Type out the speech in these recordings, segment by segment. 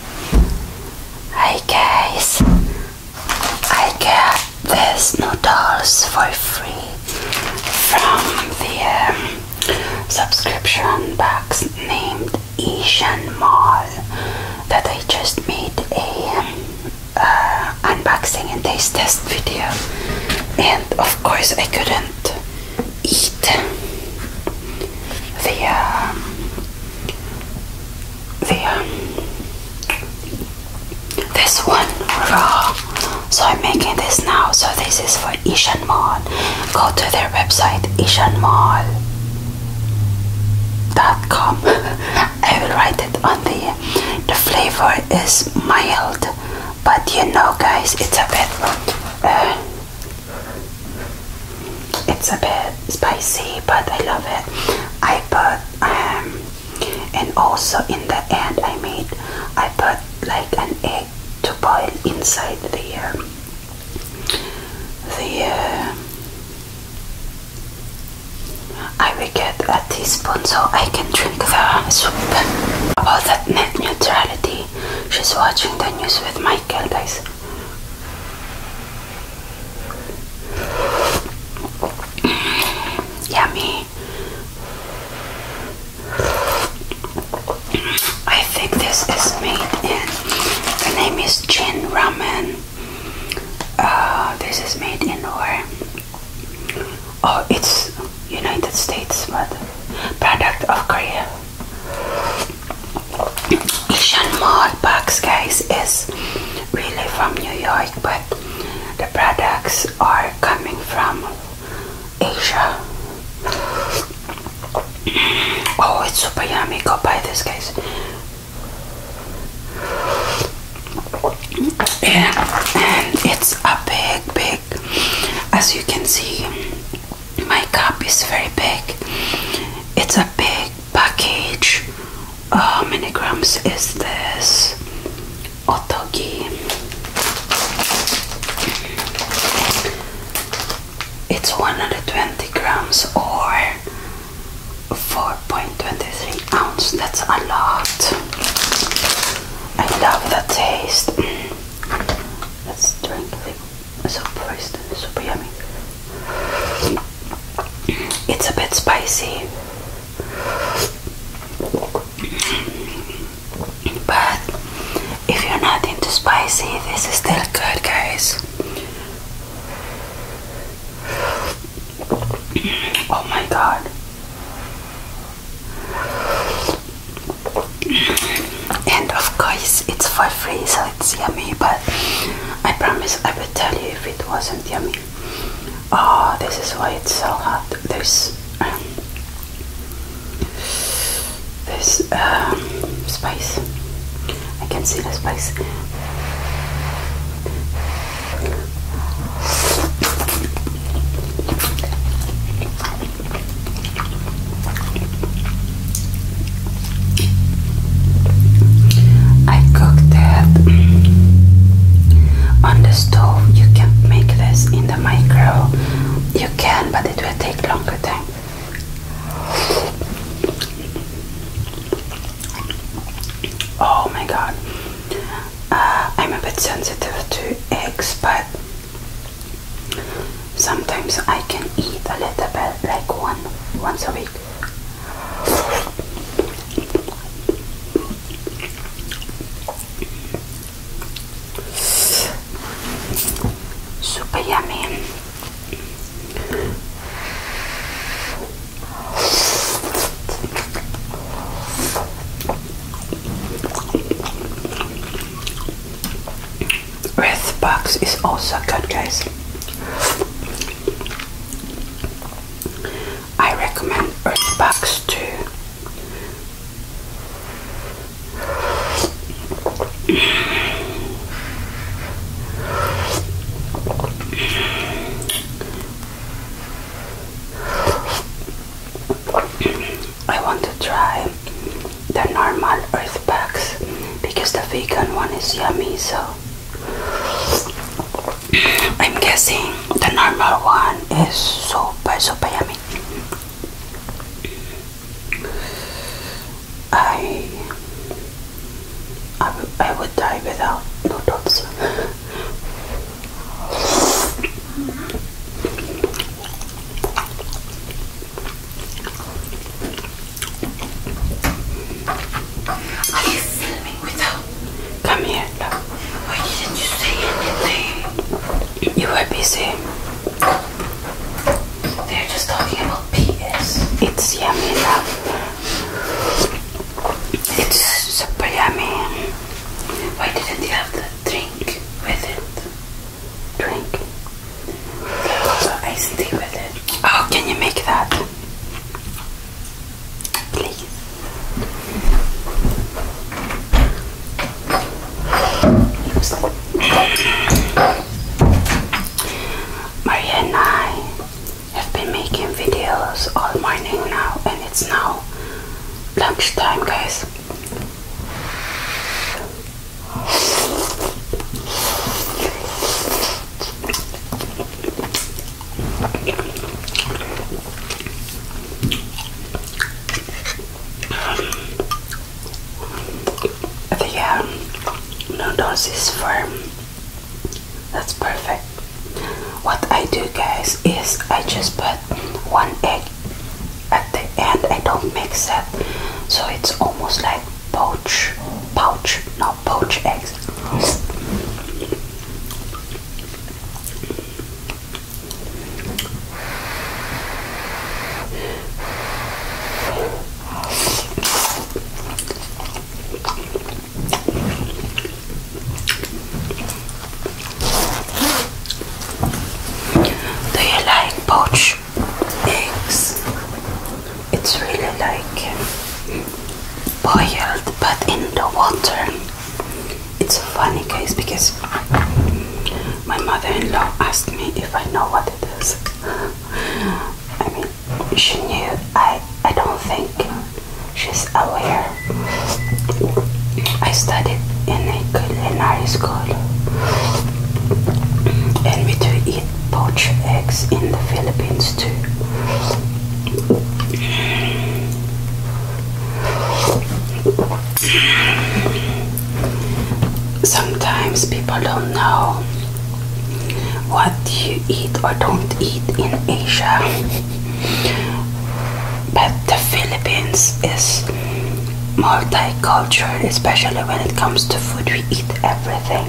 Hey guys, I got these noodles for free from the um, subscription box named Asian Mall that I just made a um, uh, unboxing and taste test video and of course I couldn't eat the um, the um, this one raw. Uh, so I'm making this now. So this is for Asian Mall. Go to their website Asian ishanmall.com. I will write it on the. The flavor is mild, but you know, guys, it's a bit. Uh, it's a bit spicy, but I love it. I put um, and also in the end I made I put like an egg to boil inside the um, uh, the. I will get a teaspoon so I can drink the soup. About that net neutrality, she's watching the news with Michael, guys. Yummy. I think this is made in, the name is Jin Ramen. Uh, this is made in where? Oh, it's United States, but product of Korea. Asian Mall box guys is really from New York but the products are coming from Asia. Oh it's super yummy. Go buy this guys. And, and it's a big big as you can see my cup is very big. It's a big package. How many grams is this? Otogi. It's 120 grams or 4.23 ounce. That's a lot. I love the taste. Mm. Let's drink it so moist and super yummy. It's a bit spicy, but if you're not into spicy, this is still good, guys. Oh my god and of course it's for free so it's yummy but I promise I will tell you if it wasn't yummy oh this is why it's so hot This, um, um, spice I can see the spice I cooked that on the stove. You can make this in the microwave. You can, but it will take longer time. Oh my god. Uh, I'm a bit sensitive to eggs, but Sometimes I can eat a little bit, like one once a week. Super yummy. Earthbox is also good, guys. I recommend Earthbox too. I want to try the normal earth packs because the vegan one is yummy so I'm guessing the normal one is super super yummy I I, I would die without noodles Are you filming with her? Come here, Why didn't you say anything? You were busy. They're just talking about PS. It's yummy, love. It's, it's super yummy. Why didn't you have the drink with it? drink. So iced tea with it. Oh, can you make that? Please. Maria and I have been making videos all morning now, and it's now lunchtime, guys. The um, noodles is firm. That's perfect. What I do, guys, is I just put one egg at the end I don't mix it so it's almost like poach pouch no poach eggs Do you like poached eggs. It's really like boiled but in the water. It's funny case because my mother-in-law asked me if I know what it is. I mean she knew I I don't think she's aware. I studied in it good and not as And we do eat poached eggs in the Philippines too. Sometimes people don't know what you eat or don't eat in Asia, but the Philippines is multicultural, especially when it comes to food. We eat everything.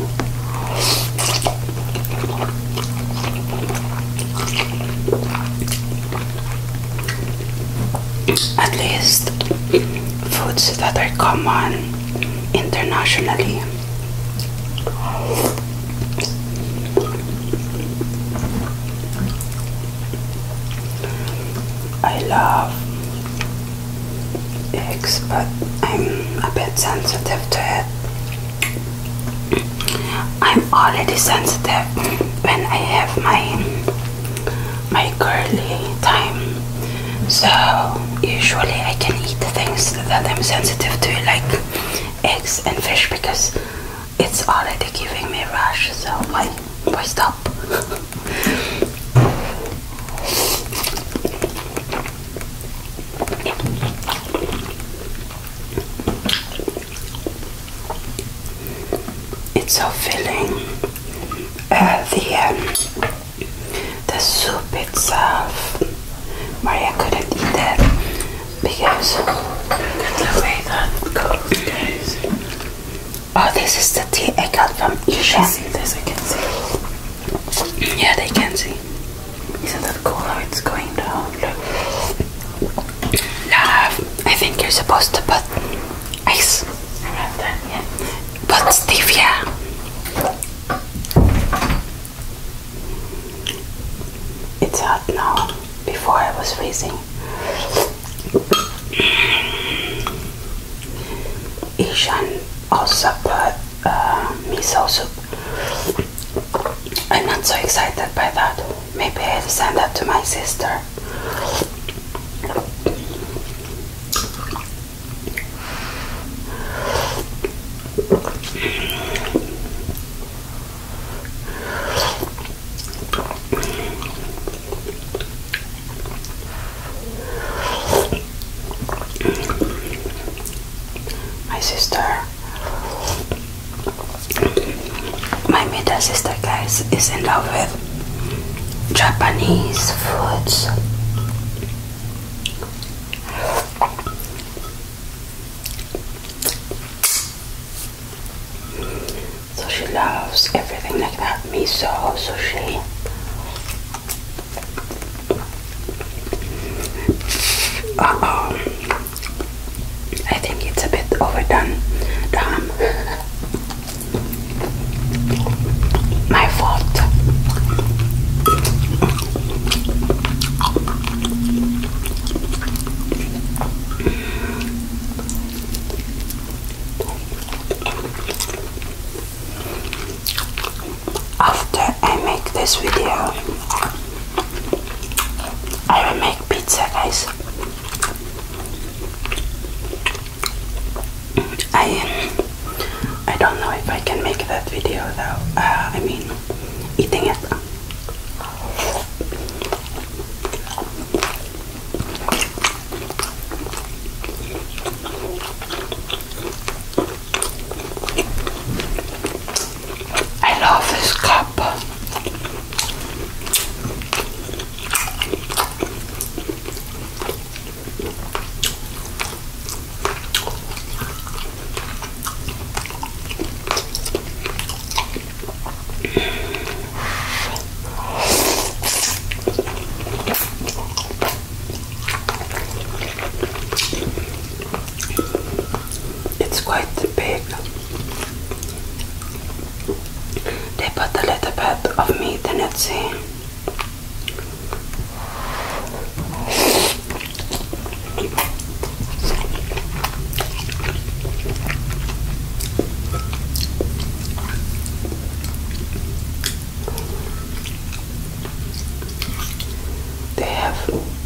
At least foods that are common internationally. I love eggs, but I'm a bit sensitive to it. I'm already sensitive when I have my my curly time. So usually I can eat things that I'm sensitive to like eggs and fish because it's already giving me rash so why Boy, stop. it's so filling. Uh, the um, the soup itself. Maria couldn't eat that because Oh, this is the tea I got from Isha. You see this? I can see. Yeah, they can see. Isn't that cool how it's going down? Love. I think you're supposed to put ice around that, yeah. But stevia. It's hot now. Before I was freezing. Ishan also put uh, miso soup. I'm not so excited by that. Maybe I'll send that to my sister. My sister, my middle sister, guys, is in love with Japanese foods. So she loves everything like that, miso, sushi. Uh oh, I think it's a bit overdone. Damn. My fault. After I make this video, I will make pizza, guys. I I don't know if I can make that video though. Uh, I mean, eating it. I love this cup. It's quite big. They put a little bit of meat in it, see? They have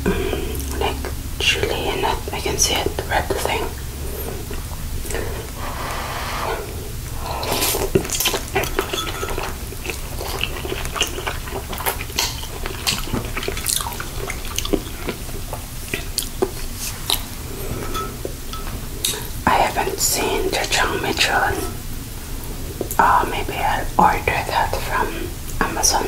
mm, like chili in it. I can see it, red thing. I haven't seen the Chang Michon. Uh, maybe I'll order that from Amazon.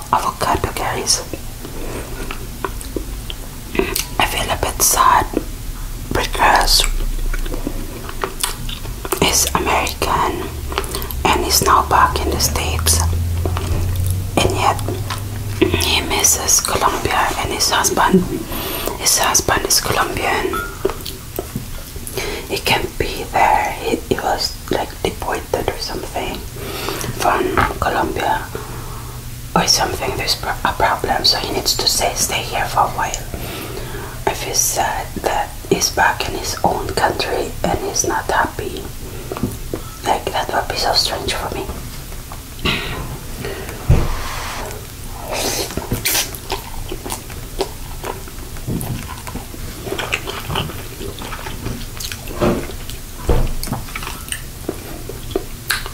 avocado guys I feel a bit sad because it's American and it's now back in the States and yet he misses Colombia and his husband his husband is Colombian he can't be there he, he was like deported adopted or something from Colombia or something, there's a problem, so he needs to stay, stay here for a while. If he's sad that he's back in his own country and he's not happy, like that would be so strange for me.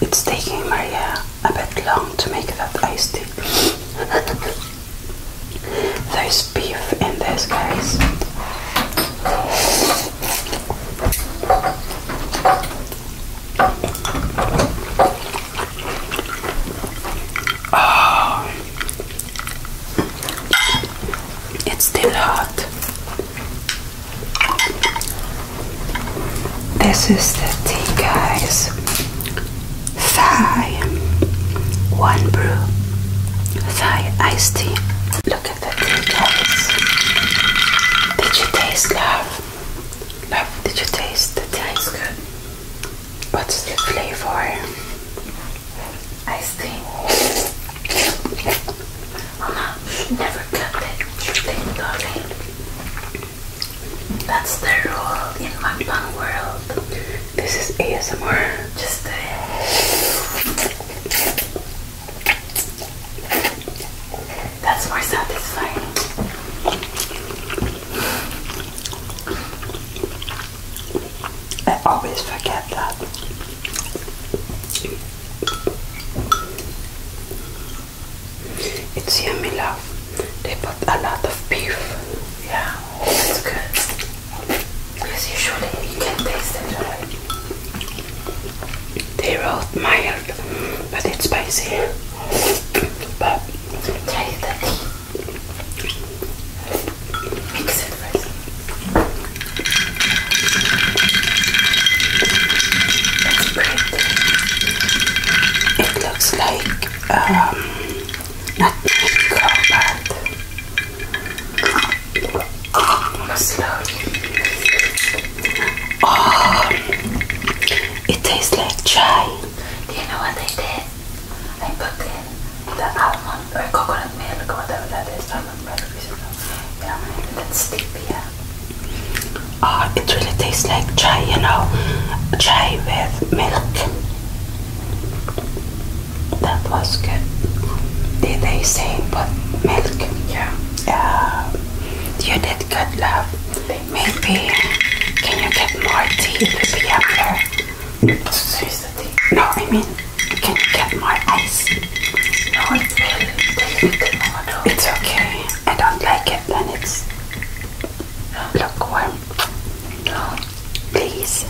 It's taking Maria a bit long to make that ice tea. There's beef in this, case. Oh. It's still hot. This is the tea, guys. Thai, one brew, Thai iced tea. Look at the tea, guys. Did you taste love? Love, did you taste the taste good. What's the flavor? I think Mama never cut it. That's the rule in mukbang world. This is ASMR. Just That's more satisfying. I always forget that. It's yummy, love. They put a lot of beef. Yeah, it's good. Because usually you can taste it, They're wrote mild, but it's spicy. But try the it looks like um, not mango, but slowly. Oh, it tastes like chai. Do you know what I did? I put the almond or coconut milk or whatever that is. I don't remember Yeah, and then stevia. Oh, ah, it really tastes like chai, you know, chai with milk. That was good. Did they say but milk? Yeah. Uh, you did good, love. Maybe can you get more tea? Maybe after. No, I mean, can you get more ice? No, it will It's okay. I don't like it Then it's lukewarm. No. Please.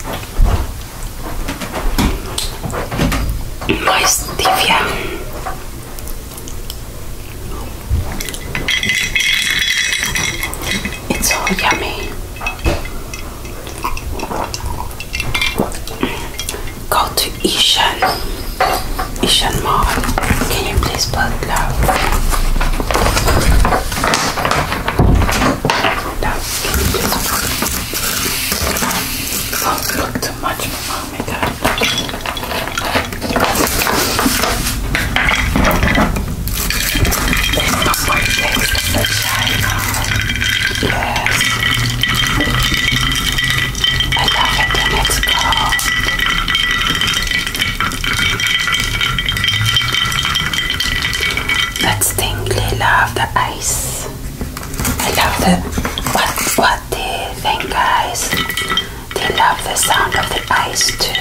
Moist Divya. It's so yummy. Go to Ishan, Ishan Mall. Can you please put love? Love, can you oh, look too much, mama. Oh my God. Yes. I love it when it's cold. That's tingly love the ice. I love the what what they think guys. They love the sound of the ice too.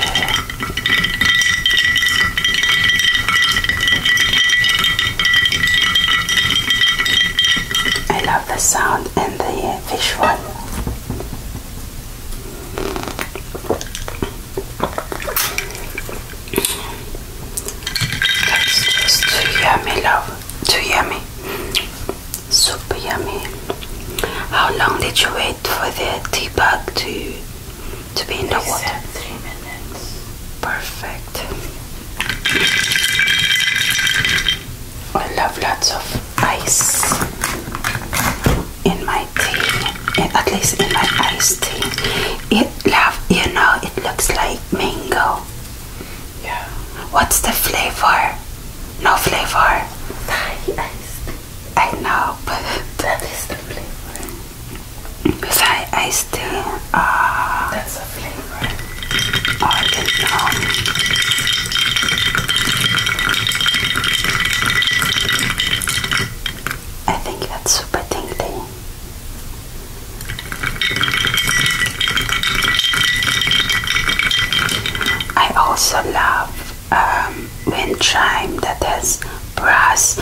I love the sound and the uh, visual. That's just too yummy, love. Too yummy. Super yummy. How long did you wait for the tea bag to to be in the water. three minutes. Perfect. I love lots of ice in my tea, eh, at least in my ice tea. It love, you know, it looks like mango. Yeah. What's the flavor? No flavor. Thai iced. I know, but that is the flavor. Because I, I still, uh, that's a flavor. I think that's super tingly. I also love um, wind chime that has brass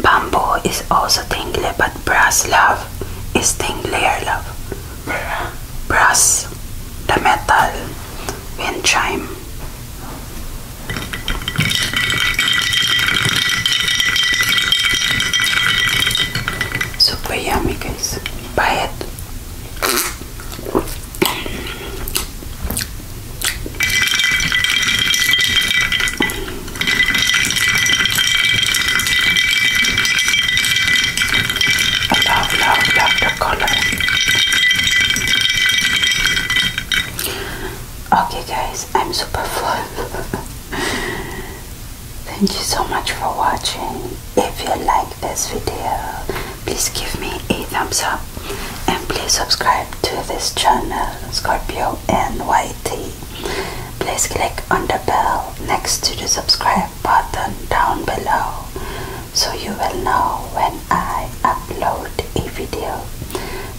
bamboo is also tingly but brass love is tinglier love brass the metal wind chime super yummy guys buy it I love, love, love the color. Okay, guys, I'm super full. Thank you so much for watching. If you like this video, please give me a thumbs up and please subscribe to this channel, Scorpio NYT. Please click on the bell next to the subscribe button down below so you will know when I upload a video.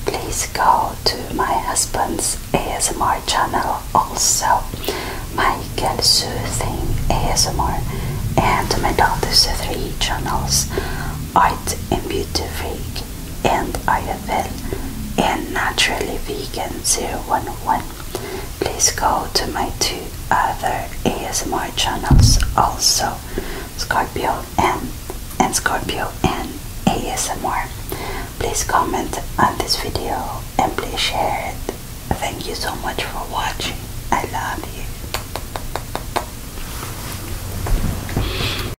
Please go to my husband's ASMR channel also, Michael Soothing ASMR, and my daughter's three channels, Art and Beauty Freak and IFL and Naturally Vegan 011. Please go to my two other ASMR channels also, Scorpio M and Scorpio N ASMR. Please comment on this video and please share it. Thank you so much for watching. I love you.